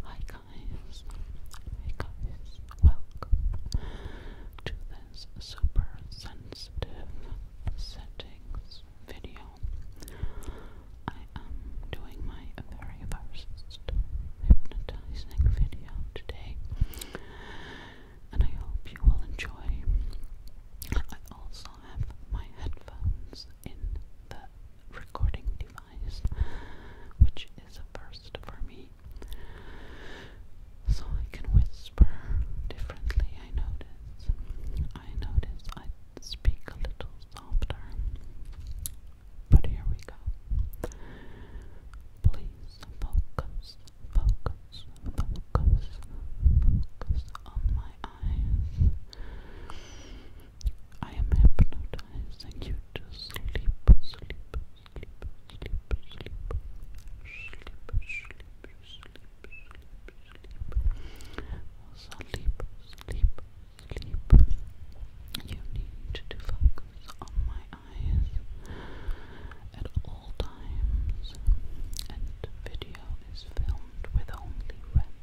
Hi guys, hey guys, welcome to this super sensitive settings video. I am doing my very first hypnotizing video today, and I hope you will enjoy. I also have my headphones in the recording device, which is a first for me. So I can whisper differently, I notice. I notice I speak a little softer. But here we go. Please focus, focus, focus, focus on my eyes. I am hypnotizing you to sleep, sleep, sleep, sleep, sleep, sleep, sleep, sleep, sleep, sleep, sleep, sleep. You need to focus on my eyes at all times, and video is filmed with only red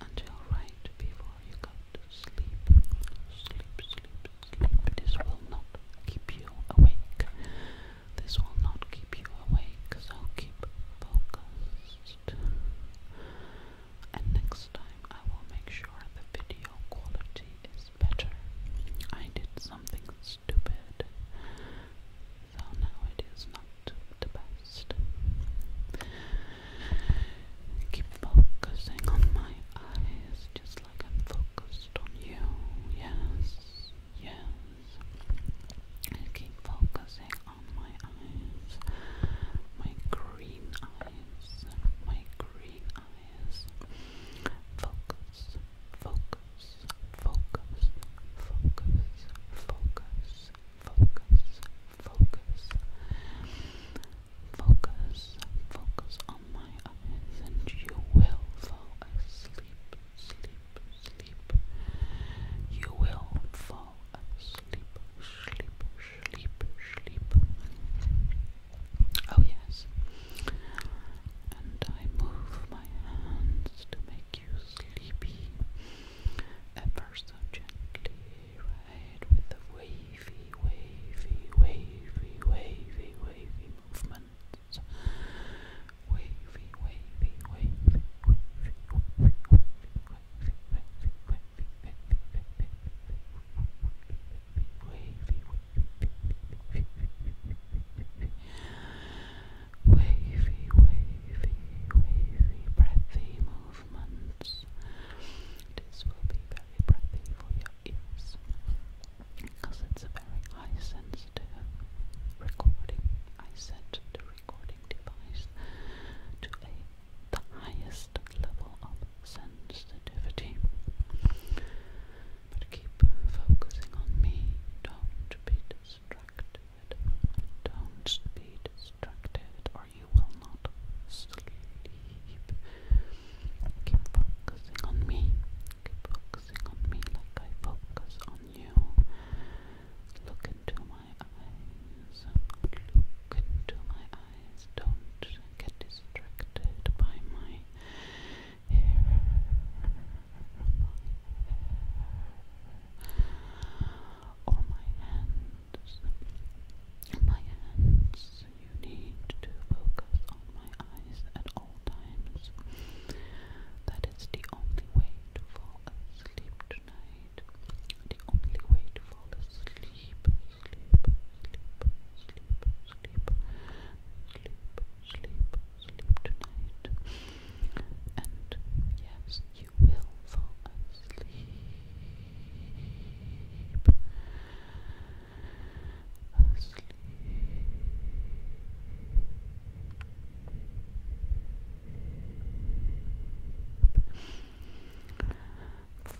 until right before you go to sleep. Sleep, sleep, sleep. This will not keep you awake. This will not keep you awake, so keep focused. And next time I will make sure the video quality is better. I did something stupid. So now it is not the best. Keep focusing on my eyes just like I'm focused on you. Yes, yes. Keep focusing on my eyes, my green eyes, my green eyes. Focus, focus, focus, focus, focus, focus, focus, focus, focus on my eyes, and you will fall asleep, sleep, sleep. You will fall asleep, sleep, sleep, sleep. Oh, yes. And I move my hands to make you sleepy. At first, so gently right with the wavy, wavy, wavy, wavy, wavy movements. Wavy, wavy, wavy, wavy, wavy, wavy, wavy, wavy, wavy, wavy, wavy, wavy, wavy, wavy, wavy, wavy, breathy movements. This will be very breathy for your ears because it's a very high sensitive recording. I set the recording device to the highest level of sensitivity. But keep focusing on me. Don't be distracted. Don't be distracted or you will not sleep. Keep focusing on me. Keep focusing on me like I focus on you. Look into my eyes. Look into my eyes. Don't get distracted by my hair or my hands. My hands, you need to focus on my eyes at all times. That is the only way to fall asleep tonight. The only way to fall asleep, sleep, sleep, sleep, sleep, sleep, sleep, sleep tonight. And yes, you will fall asleep. Asleep.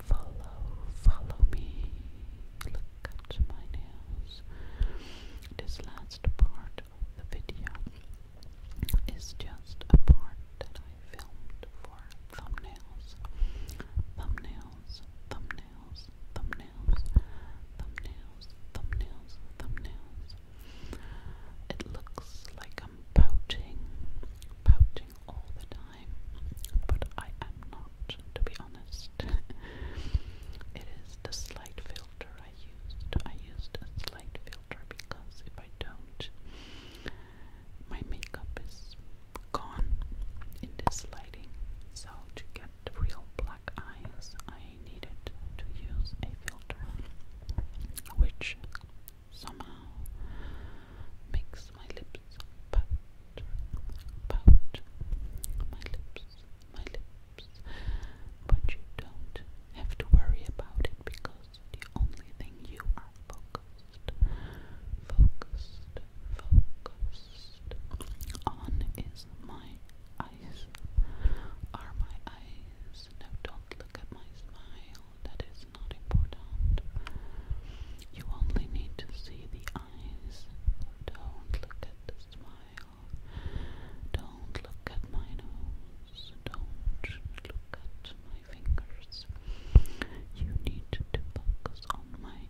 Follow, follow me. Look at my nails. This last part of the video is just a part I filmed for thumbnails. Thumbnails, thumbnails, thumbnails, thumbnails, thumbnails, thumbnails. It looks like I'm pouting, pouting all the time, but I am not, to be honest. it is the slight feel filter I used. I used a slight filter because if I don't, my makeup is gone in this lighting. So to get the real black eyes, I needed to use a filter, which somehow makes my lips pout, pout, my lips, my lips but you don't have to worry about it because the only thing you are focused, focused, focused on is my eyes. Are my eyes? Now don't look at my smile, that is not important. You only need to see the eyes. Don't look at the smile. Don't look at my nose. Don't look at my fingers. You need to focus on my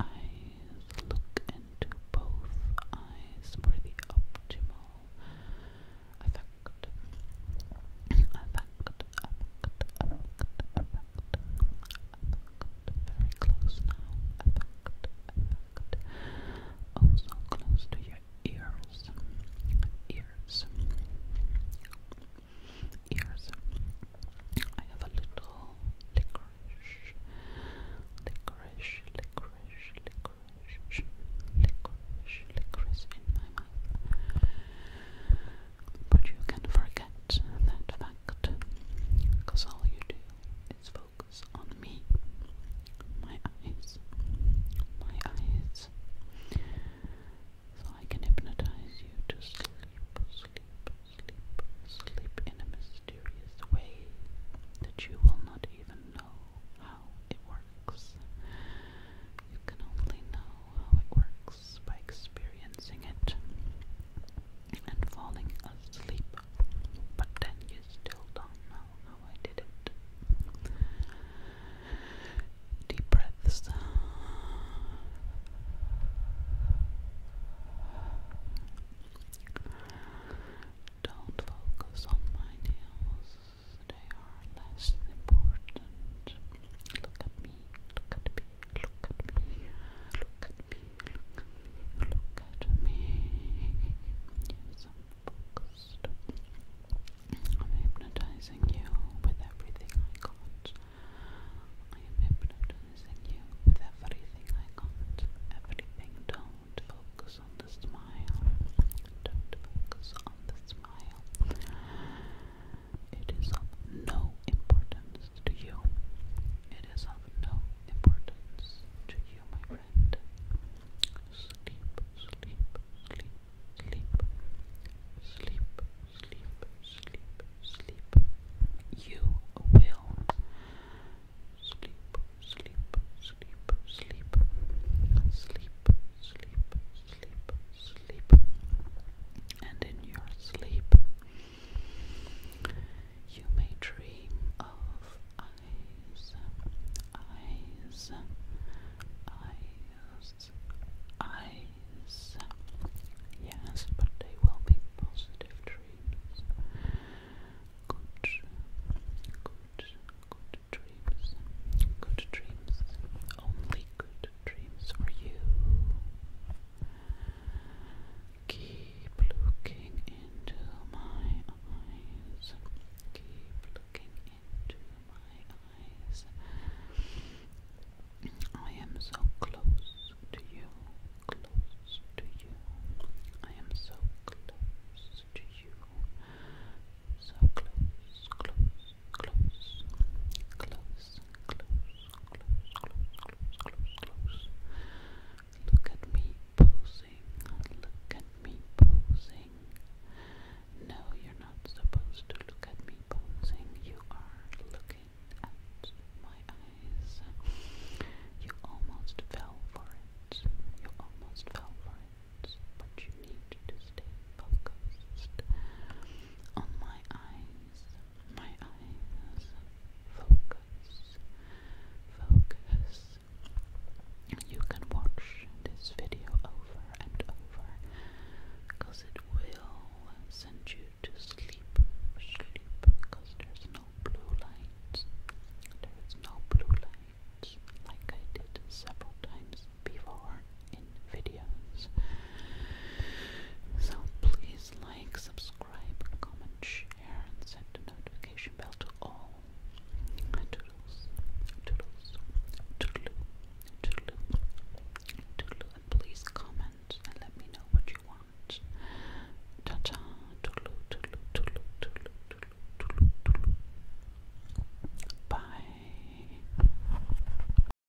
eyes. Look into both eyes for the optimal effect. Effect, effect, effect, effect. Effect. Very close now. Effect, effect also close to your ears, ears, ears. I have a little licorice, licorice, licorice, licorice, licorice, licorice in my mouth. But you can forget that fact, because all you do is focus focus on me. My eyes. My eyes. So I can hypnotize you to sleep, sleep, sleep, sleep in a mysterious way that you will not even know how it works. You can only know how it works by experiencing it and falling asleep. But then you still don't know how I did it. Deep breaths. Don't focus on my nails, they are less important. Look at me, look at me, look at me, look at me. Look at me. I'm hypnotizing you with everything I got. I am hypnotizing you with everything I got. Everything. Don't focus on the smile. Don't focus on the smile. It is of no importance to you. It is of no importance to you, my friend. Sleep, sleep, sleep, sleep, sleep, sleep, sleep, sleep. You will sleep, sleep, sleep, sleep, sleep, sleep, sleep, sleep, and in your sleep. You may dream of eyes, eyes, eyes, eyes. Yes, but they will be positive dreams. Good, good, good dreams. Good dreams. Only good dreams for you. Keep looking into my eyes. Keep looking into my eyes. I am so close to you. Close to you. I am so close to you. So close, close, close, close, close, Look at me posing. Look at me posing. No, you're not supposed to look at me posing. You are looking at my eyes. You almost fell for it. You almost fell for it. But you need to stay focused on my eyes my eyes. Focus, focus. You can watch this video over and over it will send you to sleep. Sleep there's no blue light. There is no blue light like I did several times before in videos. So please like, subscribe, comment, share, and set the notification bell to all. Toodles, toodles, toodle, toodle, toodle, and please comment and let me know what you want. Ta ta, toodle, toodle, toodle, toodle, toodle, toodle, Bye.